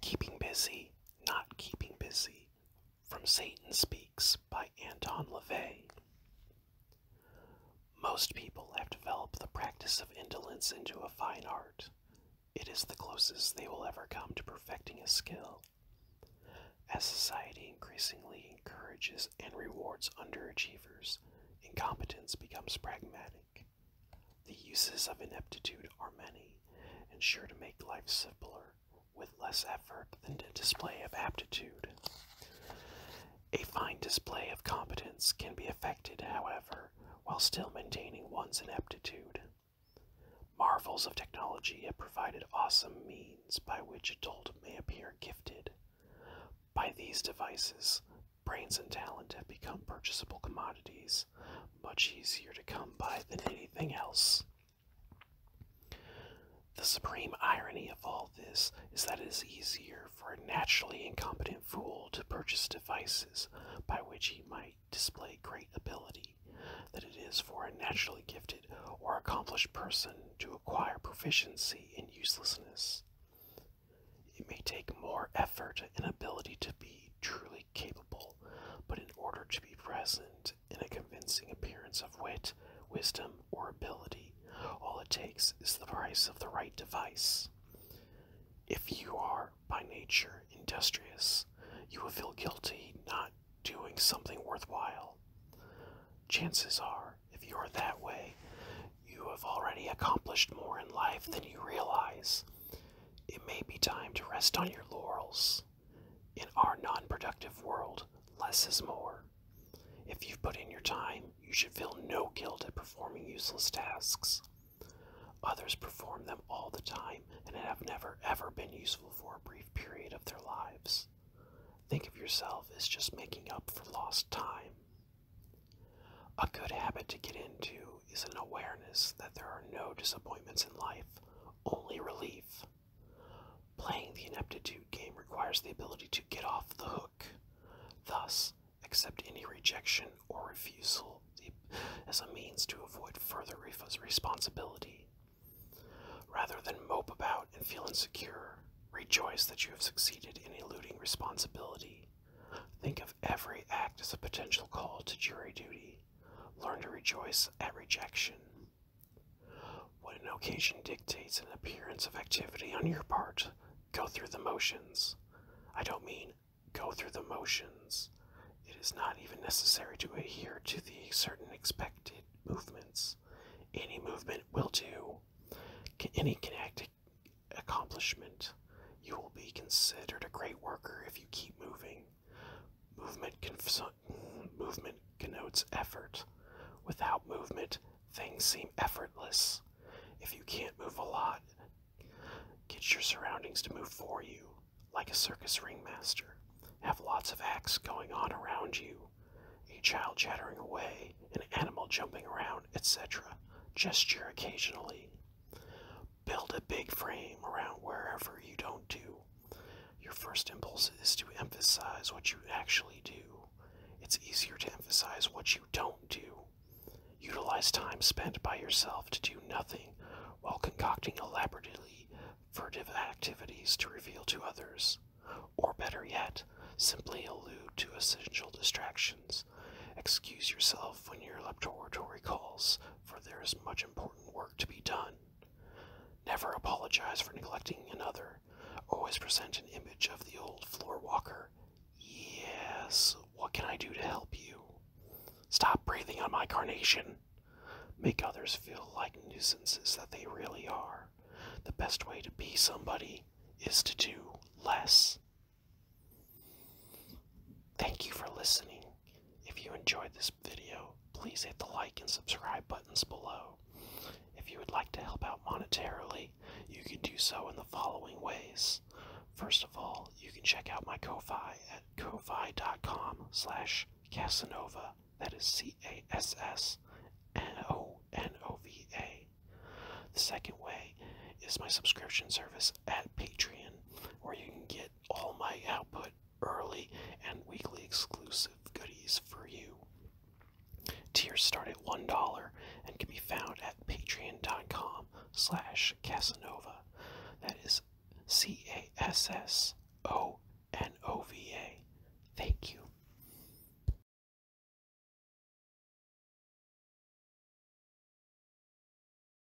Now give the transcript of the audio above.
Keeping Busy, Not Keeping Busy From Satan Speaks by Anton LaVey. Most people have developed the practice of indolence into a fine art. It is the closest they will ever come to perfecting a skill. As society increasingly encourages and rewards underachievers, incompetence becomes pragmatic. The uses of ineptitude are many, and sure to make life simpler with less effort than a display of aptitude. A fine display of competence can be effected, however, while still maintaining one's ineptitude. Marvels of technology have provided awesome means by which a adult may appear gifted. By these devices, Brains and talent have become purchasable commodities, much easier to come by than anything else. The supreme irony of all this is that it is easier for a naturally incompetent fool to purchase devices by which he might display great ability than it is for a naturally gifted or accomplished person to acquire proficiency in uselessness. It may take more effort and ability to be truly capable, but in order to be present in a convincing appearance of wit, wisdom, or ability, all it takes is the price of the right device. If you are, by nature, industrious, you will feel guilty not doing something worthwhile. Chances are, if you are that way, you have already accomplished more in life than you realize. It may be time to rest on your laurels. In our non productive world, less is more. If you've put in your time, you should feel no guilt at performing useless tasks. Others perform them all the time and have never ever been useful for a brief period of their lives. Think of yourself as just making up for lost time. A good habit to get into is an awareness that there are no disappointments in life, only relief. Playing the ineptitude game requires the ability to get off the hook, thus, accept any rejection or refusal as a means to avoid further responsibility. Rather than mope about and feel insecure, rejoice that you have succeeded in eluding responsibility. Think of every act as a potential call to jury duty. Learn to rejoice at rejection. When an occasion dictates an appearance of activity on your part, go through the motions. I don't mean go through the motions. It is not even necessary to adhere to the certain expected movements. Any movement will do. Any kinetic accomplishment you will be considered a great worker if you keep moving. Movement, connotes effort. Without movement, things seem effortless. If you can't move a lot, get your surroundings to move for you, like a circus ringmaster. Have lots of acts going on around you a child chattering away, an animal jumping around, etc. Gesture occasionally build a big frame around wherever you don't do. Your first impulse is to emphasize what you actually do. It's easier to emphasize what you don't do. Utilize time spent by yourself to do nothing while concocting elaborately furtive activities to reveal to others. Or better yet, simply allude to essential distractions. Excuse yourself when your laboratory calls for there is much important work to be done. Never apologize for neglecting another. Always present an image of the old floor walker. Yes, what can I do to help you? Stop breathing on my carnation. Make others feel like nuisances that they really are. The best way to be somebody is to do less. Thank you for listening. If you enjoyed this video, please hit the like and subscribe buttons below. If you would like to help out monetarily, you can do so in the following ways. First of all, you can check out my Ko-Fi at ko-fi.com slash Casanova. That is C-A-S-S-N-O-N-O-V-A. The second way is my subscription service at Patreon, where you can get all my output early and weekly exclusive goodies for you. Tears start at $1 and can be found at patreon.com slash Casanova. That is C-A-S-S-O-N-O-V-A. Thank you.